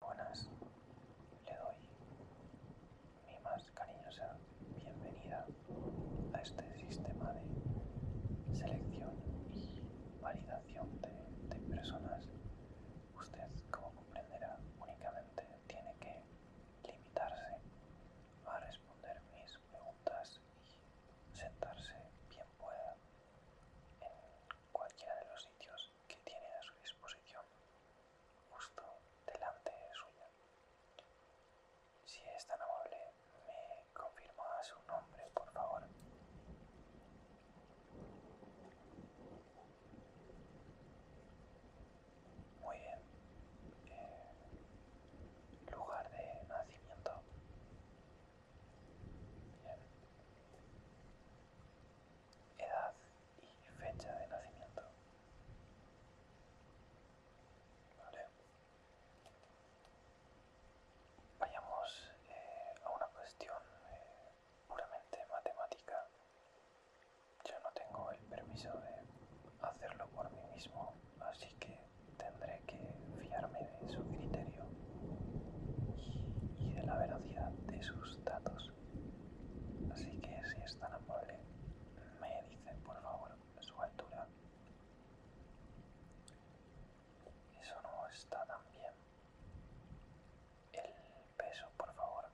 Buenas, le doy mi más cariñosa bienvenida a este sistema de selección y validación de, personas. Usted, como comprenderá, únicamente tiene que limitarse a responder mis preguntas y sentarse bien pueda en cualquiera de los sitios que tiene a su disposición justo delante suya. Si es tan amable, me confirma su nombre, por favor. Muy bien. Eh, lugar de nacimiento. Edad y fecha de nacimiento. Vayamos eh, a una cuestión eh, puramente matemática. Yo no tengo el permiso de hacerlo por mí mismo, así que tendré que fiarme de su criterio y, de la velocidad de sus datos. Así que si es tan amable, me dice por favor su altura. Eso no está tan bien. El peso, por favor.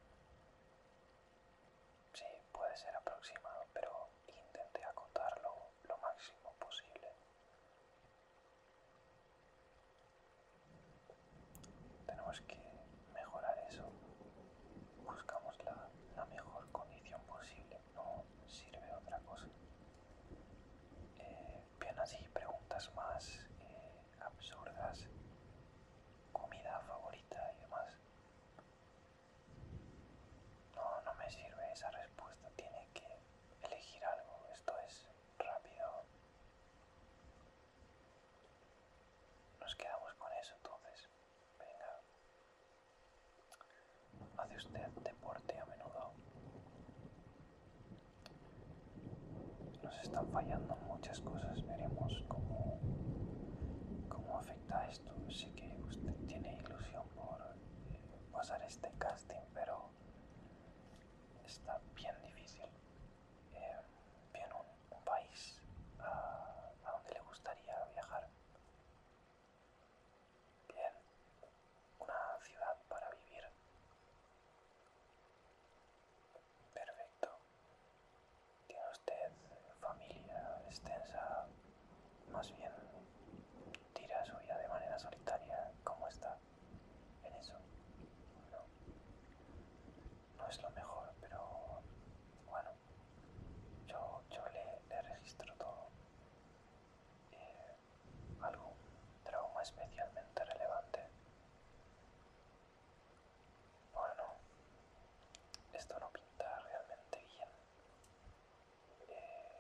Sí, puede ser aproximado, pero intente acotarlo lo máximo posible. Tenemos que mejorar eso. Buscamos la, mejor condición posible, no sirve otra cosa. Eh, bien así, preguntas más eh, absurdas, comida favorita y demás. No, no me sirve esa respuesta, tiene que elegir algo, esto es rápido. Nos quedamos con eso entonces. Venga. ¿Hace usted deporte a menudo? Nos están fallando muchas cosas. Veremos cómo, afecta esto. Sé que usted tiene ilusión por eh, pasar este casting, pero está bien difícil. Eh, bien un un país ah, a, donde le gustaría viajar. Bien, una ciudad para vivir. Perfecto. ¿Tiene usted familia extensa? Más bien, tira su vida de manera solitaria. ¿Cómo está? ¿En eso? no es lo mejor, pero bueno, yo, yo le, registro todo. Eh, algún trauma especialmente relevante. Bueno, esto no pinta realmente bien. Eh,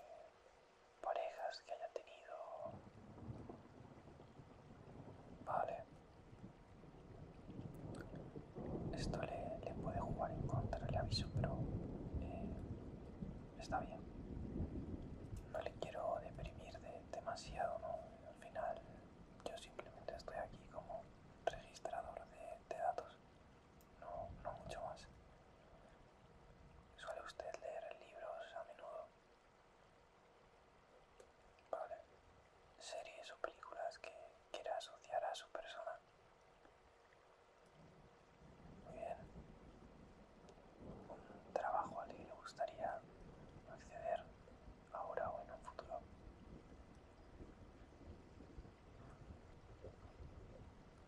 parejas que haya tenido... Vale. Esto le, puede jugar en contra, le aviso, pero eh, está bien. No le quiero deprimir de, demasiado, ¿no? Al final yo simplemente estoy aquí como registrador de, datos, no mucho más. ¿Suele usted leer libros a menudo? ¿vale? Series o películas que quiera asociar a su persona. Muy bien. Un trabajo al que le gustaría acceder ahora o en un futuro.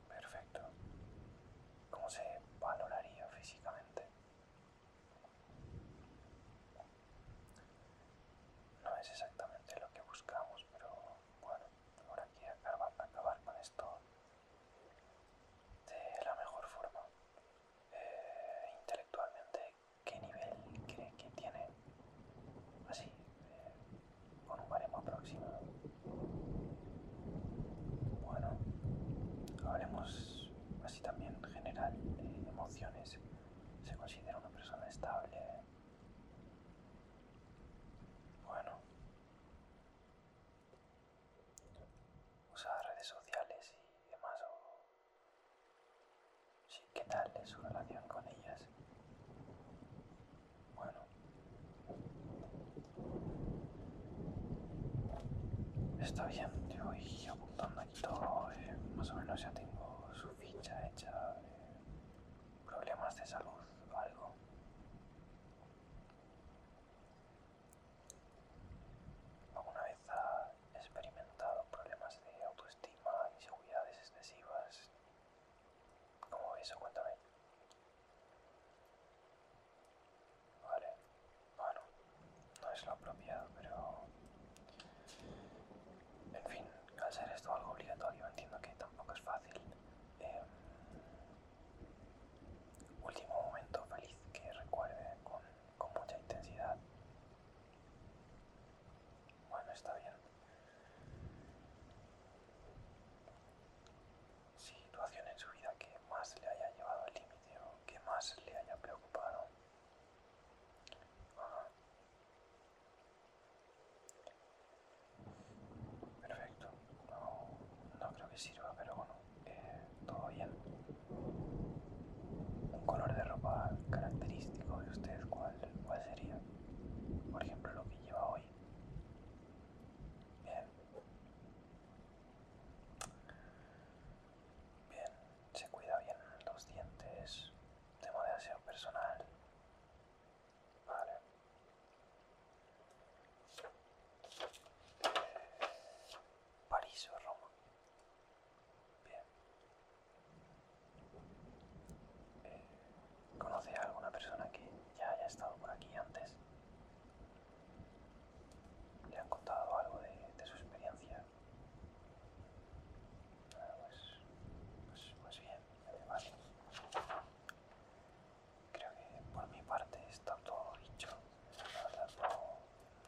Perfecto. ¿Cómo se valoraría físicamente? No es exactamente lo que buscamos, pero bueno, ahora aquí que acabar, acabar con esto de la mejor forma. Eh, intelectualmente, ¿qué nivel cree que tiene? Así, eh, con un baremo Bueno, hablemos así también general de emociones se considera una persona estable. Bueno, usa redes sociales y demás. O... Sí, ¿qué tal es su relación con ellas? Bueno, está bien, yo voy apuntando aquí todo, eh, más o menos ya tengo su ficha hecha de eh, problemas de salud algo. ¿Alguna vez ha experimentado problemas de autoestima, inseguridades excesivas? ¿Cómo eso? Cuéntame. Vale, bueno, no es lo apropiado, pero en fin, al ser esto algo obligatorio, entiendo que tampoco es fácil. Eh, último momento feliz que recuerde con, mucha intensidad. Bueno, está bien. Situación en su vida que más le haya llevado al límite o que más le haya preocupado. Perfecto, no, creo que sirva, pero bueno, eh, todo bien. Un color de ropa característico de usted, ¿cuál, cuál sería? Por ejemplo, lo que lleva hoy. Bien. Bien, se cuida bien los dientes, de aseo personal. Vale. París o Roma. Bien. Eh, ¿Conoce a alguna persona que ya haya estado por aquí antes? ¿Le han contado algo de su experiencia? Pues, pues, bien, vale. Creo que por mi parte está todo dicho. no,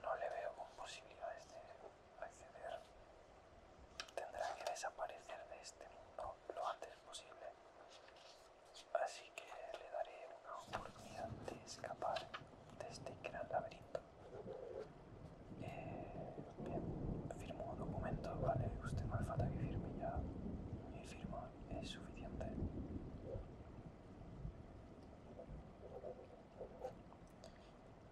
no le veo con posibilidades de acceder. Tendrá que desaparecer de este mundo lo antes posible. Así que le daré una oportunidad de escapar de este gran laberinto. Eh, bien, firmo documento, vale, usted no hace falta que firme ya. Y firma es suficiente.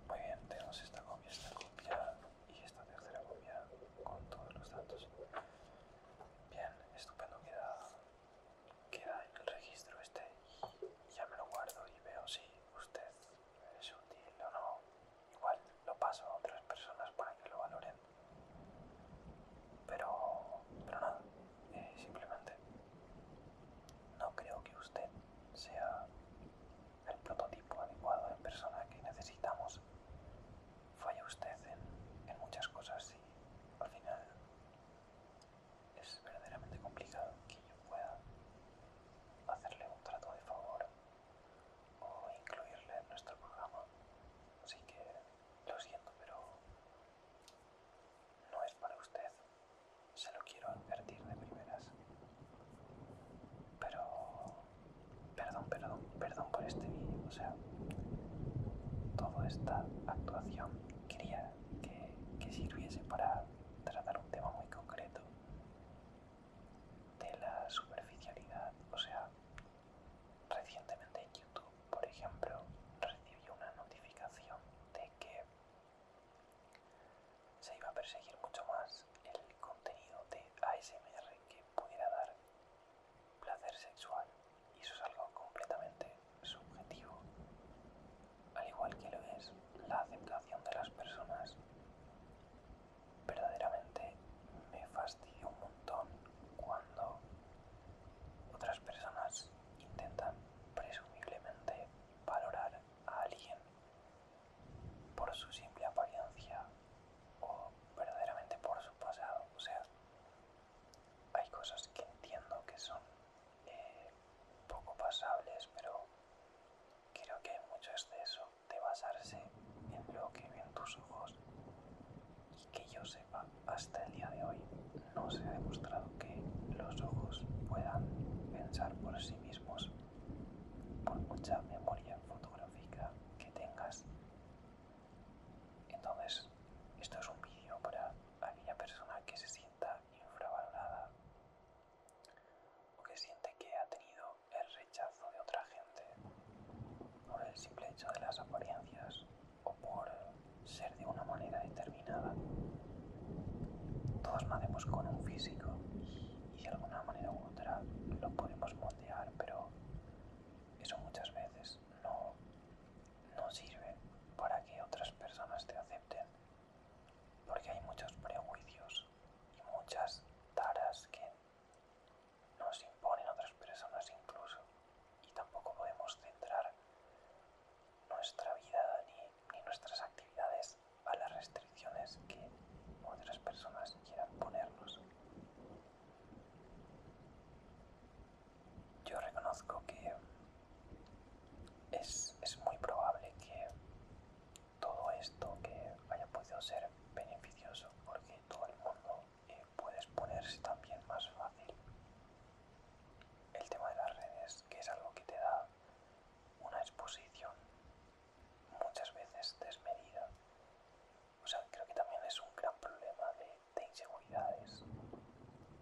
Muy bien, tenemos esta copia, esta copia y esta tercera copia con todos los datos. Bien, estupendo, queda, queda el registro este y ya me lo guardo y veo si usted es útil o no, igual lo paso a otras personas para que lo valoren. Pero, pero nada, eh, simplemente no creo que usted sea el prototipo adecuado de persona que necesitamos. Falla usted en muchas cosas y al final es verdaderamente complicado que yo pueda hacerle un trato de favor o incluirle en nuestro programa. Así que lo siento, pero no es para usted. Se lo quiero advertir de primeras. Pero... Perdón, perdón, perdón por este vídeo. O sea, toda esta actuación quería que, sirviese para tratar un tema muy concreto de la superficialidad. O sea, recientemente en YouTube, por ejemplo, recibió una notificación de que se iba a perseguir mucho más el contenido de ASMR que pudiera dar placer sexual y eso es algo completamente subjetivo al igual que lo es la aceptación de las personas verdaderamente me fastidio un montón cuando otras personas intentan presumiblemente valorar a alguien por su simple apariencia o verdaderamente por su pasado. O sea, hay cosas que entiendo que son eh, poco pasables, pero creo que hay mucho exceso de basarse en lo que ven tus ojos y que yo sepa hasta el día de hoy no se ha demostrado que los ojos puedan pensar por sí mismos por mucha memoria fotográfica que tengas entonces esto es un vídeo para aquella persona que se sienta infravalorada o que siente que ha tenido el rechazo de otra gente por el simple hecho de las apariencias o por ser de una manera determinada. Todos nacemos con un físico y de alguna manera u otra lo podemos moldear, pero eso muchas veces no, no sirve para que otras personas te acepten, porque hay muchos prejuicios y muchas taras que nos imponen otras personas incluso y tampoco podemos centrar nuestra vida ni, nuestras actividades a las restricciones que otras personas quieran ponernos. Yo reconozco que es, es muy probable que todo esto que haya podido ser beneficioso porque todo el mundo eh, puede exponerse también más fácil el tema de las redes que es algo que te da una exposición muchas veces desmedida o sea creo que también es un gran problema de, de inseguridades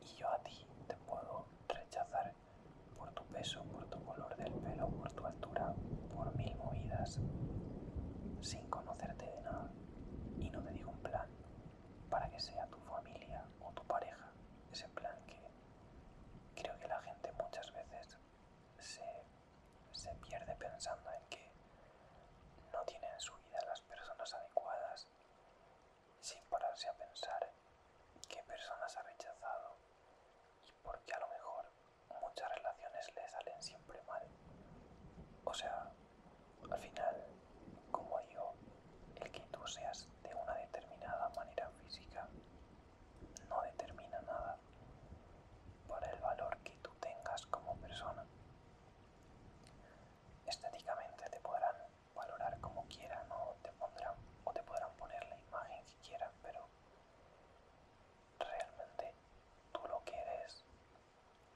y yo a ti te puedo rechazar por tu peso por tu color del pelo por tu por mil movidas sin conocerte de nada y no te digo un plan para que sea tu familia o tu pareja ese plan que creo que la gente muchas veces se, se pierde pensando en que no tiene en su vida las personas adecuadas sin pararse a pensar qué personas ha rechazado y qué a lo mejor muchas relaciones le salen siempre mal. O sea, al final, como yo, el que tú seas de una determinada manera física no determina nada para el valor que tú tengas como persona. Estéticamente te podrán valorar como quieran o te pondrán o te podrán poner la imagen que quieran, pero realmente tú lo que eres,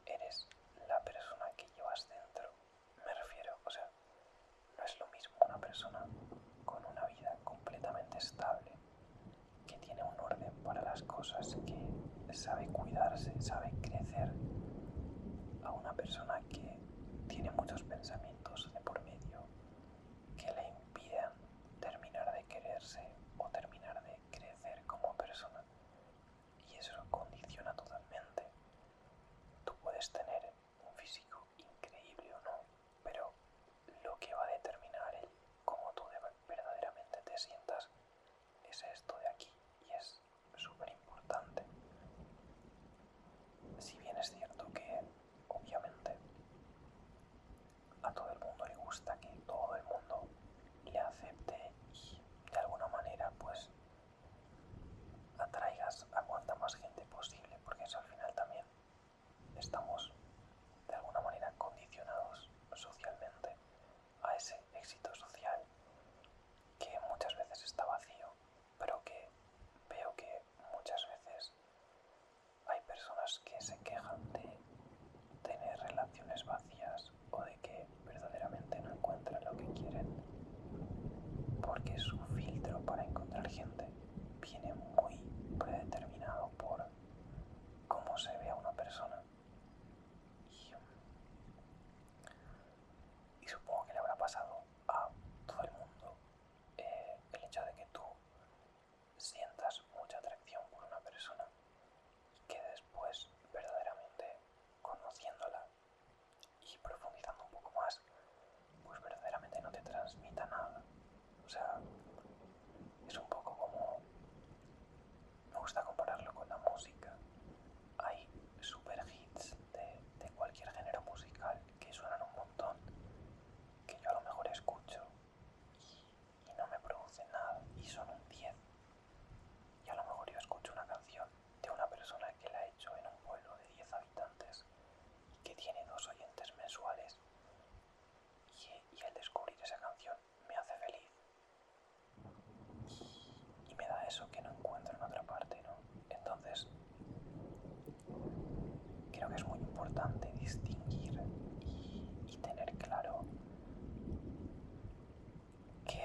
eres la persona que llevas dentro. Me refiero, o sea, no es lo mismo una persona con una vida completamente estable, que tiene un orden para las cosas, que sabe cuidarse, sabe crecer, a una persona que tiene muchos pensamientos de por medio que le impiden terminar de quererse o terminar de crecer como persona. Y eso condiciona totalmente. Tú puedes tener un físico increíble o no, pero lo que va a determinar el cómo tú verdaderamente te sientas es esto de aquí y es súper importante. Si bien es cierto que, obviamente, a todo el mundo le gusta que todo el mundo le acepte y de alguna manera pues atraigas a cuanta más gente posible porque eso al final también estamos de alguna manera condicionados socialmente a ese éxito social que muchas veces está vacío pero que veo que muchas veces hay personas que se quejan de tener relaciones vacías o de que verdaderamente no encuentran lo que quieren porque su filtro para encontrar gente viene muy predeterminado por cómo se ve a una persona y, supongo que le habrá pasado a todo el mundo eh, el hecho de que tú sientas mucha atracción por una persona y que después verdaderamente conociéndola y profundizando un poco más pues verdaderamente no te transmita nada o sea es un poco como me gusta compararlo con la música hay super hits de, de cualquier género musical que suenan un montón que yo a lo mejor escucho y no me produce nada y son un 10. Y a lo mejor yo escucho una canción de una persona que la ha hecho en un pueblo de 10 habitantes y que tiene dos oyentes mensuales y, el descubrir esa canción me hace feliz. Y, me da eso que no encuentro en otra parte, ¿no? Entonces, creo que es muy importante distinguir y tener claro que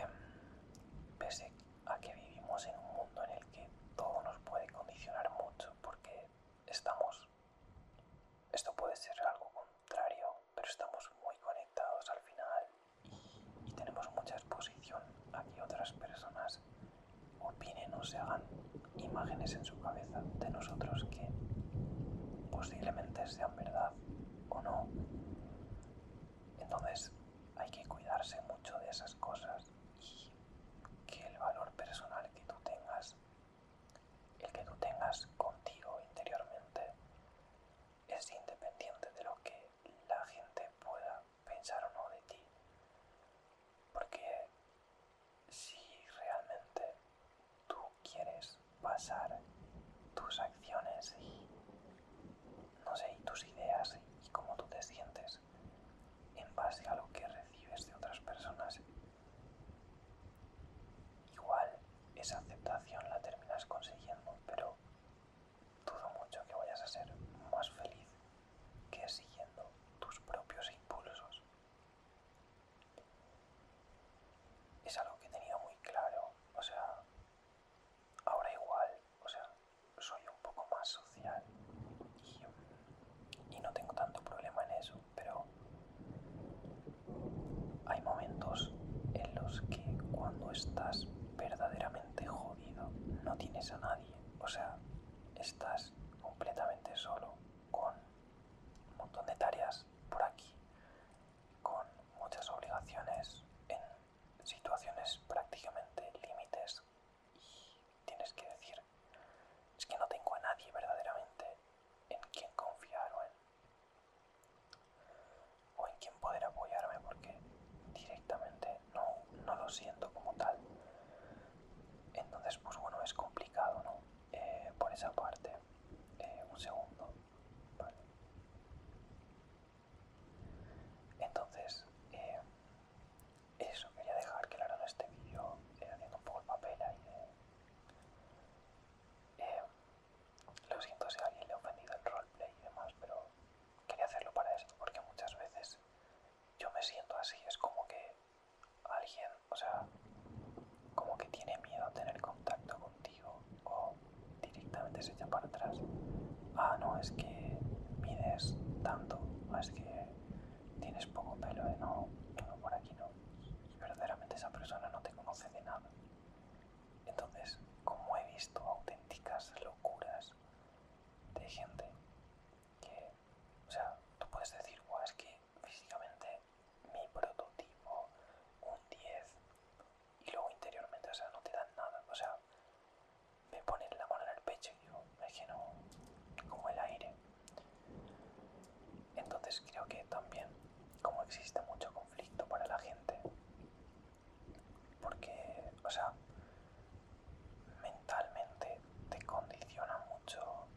pese a que vivimos en un mundo en el que todo nos puede condicionar mucho porque estamos esto puede ser algo contrario pero estamos muy conectados al final y, tenemos mucha exposición a que otras personas opinen o se hagan imágenes en su cabeza de nosotros que posiblemente sean verdad o no. Entonces hay que cuidarse mucho de esas cosas y que el valor personal que tú tengas, el que tú tengas contigo interiormente, es independiente de lo que la gente pueda pensar o no de ti. Porque si realmente tú quieres pasar tus acciones y, no sé, tus ideas y, y cómo tú te sientes en base a lo que recibes de otras personas. Igual esa aceptación la terminas consiguiendo, pero dudo mucho que vayas a ser más feliz que siguiendo tus propios impulsos es algo que he tenido muy claro, o sea, ahora igual, o sea, soy un poco más social y, no tengo tanto problema en eso, pero hay momentos en los que cuando estás verdaderamente jodido no tienes a nadie, o sea, estás completamente solo con un montón de tareas por aquí, con muchas obligaciones en situaciones prácticamente límites y tienes que decir, es que no tengo a nadie verdaderamente en quien confiar o en, quien poder apoyarme porque directamente no, lo siento como tal. Entonces, pues bueno, es complicado, ¿no? Eh, por esa parte, eh, un segundo. Entonces, eh, eso quería dejar claro en este vídeo, eh, haciendo un poco el papel ahí de... Eh, lo siento si a alguien le ha ofendido el roleplay y demás, pero quería hacerlo para eso, porque muchas veces yo me siento así, es como que alguien, o sea, como que tiene miedo a tener contacto contigo o directamente se echa para atrás. Ah, no, es que mides tanto, es que tienes poco pelo, de ¿eh? no, no, por aquí no. Y verdaderamente esa persona no te conoce de nada. Entonces, como he visto auténticas locuras de gente que, o sea, tú puedes decir, wow, es que físicamente mi prototipo, un 10, y luego interiormente, o sea, no te dan nada, o sea, me ponen la mano en el pecho y yo es que como el aire. Entonces creo que también, como existe mucho conflicto para la gente, porque, o sea, mentalmente te condiciona mucho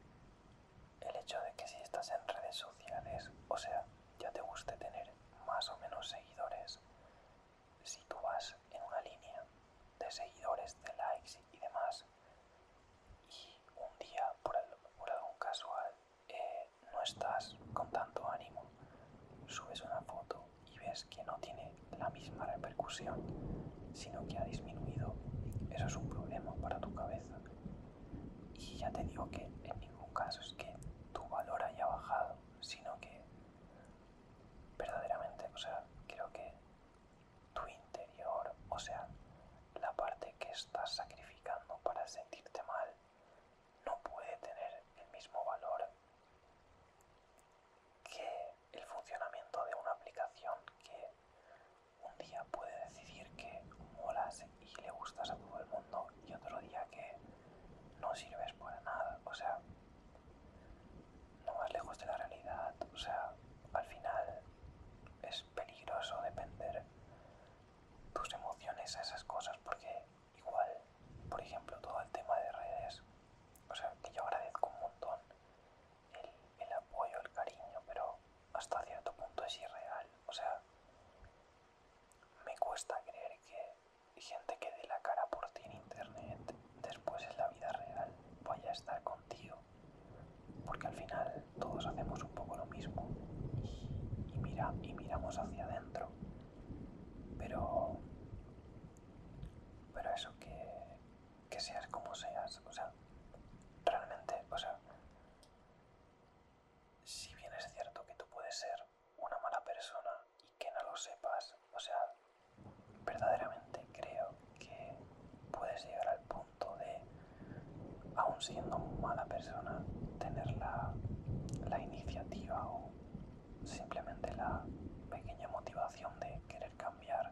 el hecho de que si estás en redes sociales, o sea, ya te guste tener más o menos seguidores, si tú vas en una línea de seguidores, de likes y demás, y un día por, algún casual eh, no estás con tanto ánimo, subes una foto y ves que no tiene la misma repercusión, sino que ha disminuido, eso es un problema para tu cabeza. Y ya te digo que en ningún caso es que tu valor haya bajado, sino que verdaderamente, o sea, creo que tu interior, o sea, la parte que estás sacrificando para sentirte mal, no puede tener el mismo valor que el funcionamiento de una aplicación que un día puede decidir que mola y le gustas a todo el mundo y otro día que no sirves para nada, o sea, no vas lejos de la realidad, o sea, al final es peligroso depender tus emociones a esas cosas porque igual, por ejemplo, todo el tema de redes, o sea, que yo agradezco un montón el, el apoyo, el cariño, pero hasta cierto punto es irreal, o sea, me cuesta creer que gente que dé la cara por ti en internet, después en la vida real, vaya a estar contigo. Porque al final todos hacemos un poco lo mismo y, mira, y miramos hacia adentro. Pero. Pero eso que. que seas como seas, o sea, realmente, o sea. Si bien es cierto que tú puedes ser una mala persona y que no lo sepas. O sea, verdaderamente creo que puedes llegar al punto de, aún siendo mala persona, tener la, iniciativa o simplemente la pequeña motivación de querer cambiar.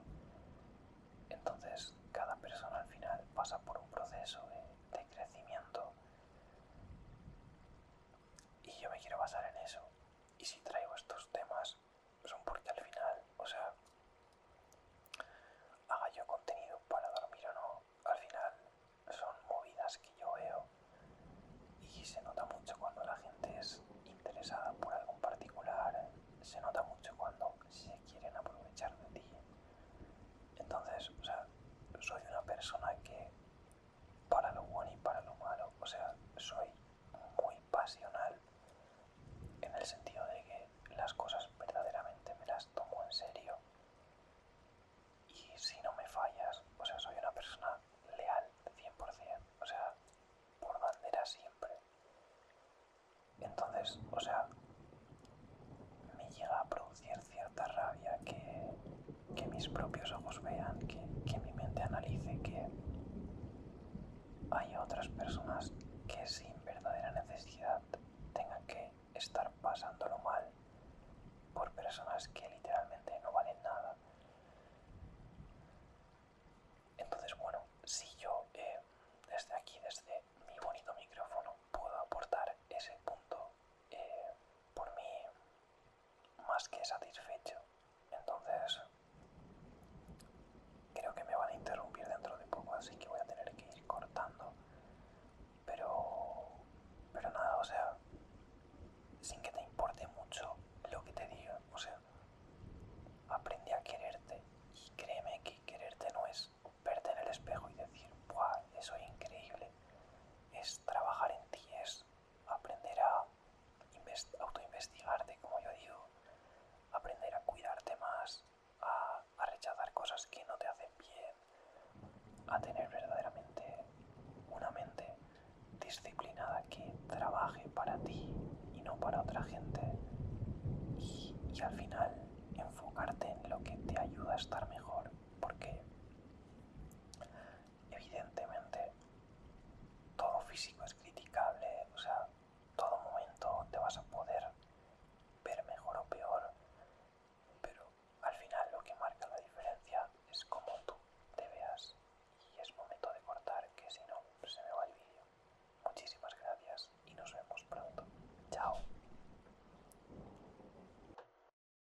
Entonces, cada persona al final pasa por un proceso de crecimiento y yo me quiero basar en eso. Y si traigo estos temas son pues porque al final, o sea, haga yo contenido para dormir o no, al final son movidas que yo veo y se nota mucho cuando la gente es interesada por algo en particular, se nota mucho cuando se quieren aprovechar de ti. Entonces, o sea, soy una persona que para lo bueno y para lo malo. O sea, soy muy pasional en el sentido de que las cosas verdaderamente me las tomo en serio. Y si no me fallas, o sea, soy una persona leal 100%, o sea, por bandera siempre. Entonces, o sea, me llega a producir cierta rabia que que mis propios ojos vean, que, mi mente analice que hay otras personas que sin verdadera necesidad tengan que estar pasándolo mal por personas que literalmente no valen nada. Entonces, bueno, si yo eh, desde aquí, desde mi bonito micrófono, puedo aportar ese punto eh, por mí más que satisfecho. Entonces, creo que me van a interrumpir dentro de poco, así que voy a tener que ir cortando. Pero, pero nada, o sea, sin que te importe mucho lo que te diga, o sea, aprende a quererte y créeme que quererte no es verte en el espejo y decir, eso es increíble trabajar en ti, es aprender a autoinvestigarte, como yo digo, aprender a cuidarte más, a, rechazar cosas que no te hacen bien, a tener verdaderamente una mente disciplinada que trabaje para ti y no para otra gente y, y al final enfocarte en lo que te ayuda a estar mejor porque evidentemente todo físico es criticable, o sea, todo momento te vas a poder ver mejor o peor, pero al final lo que marca la diferencia es cómo tú te veas y es momento de cortar que si no se me va el vídeo. Muchísimas gracias y nos vemos pronto. Chao.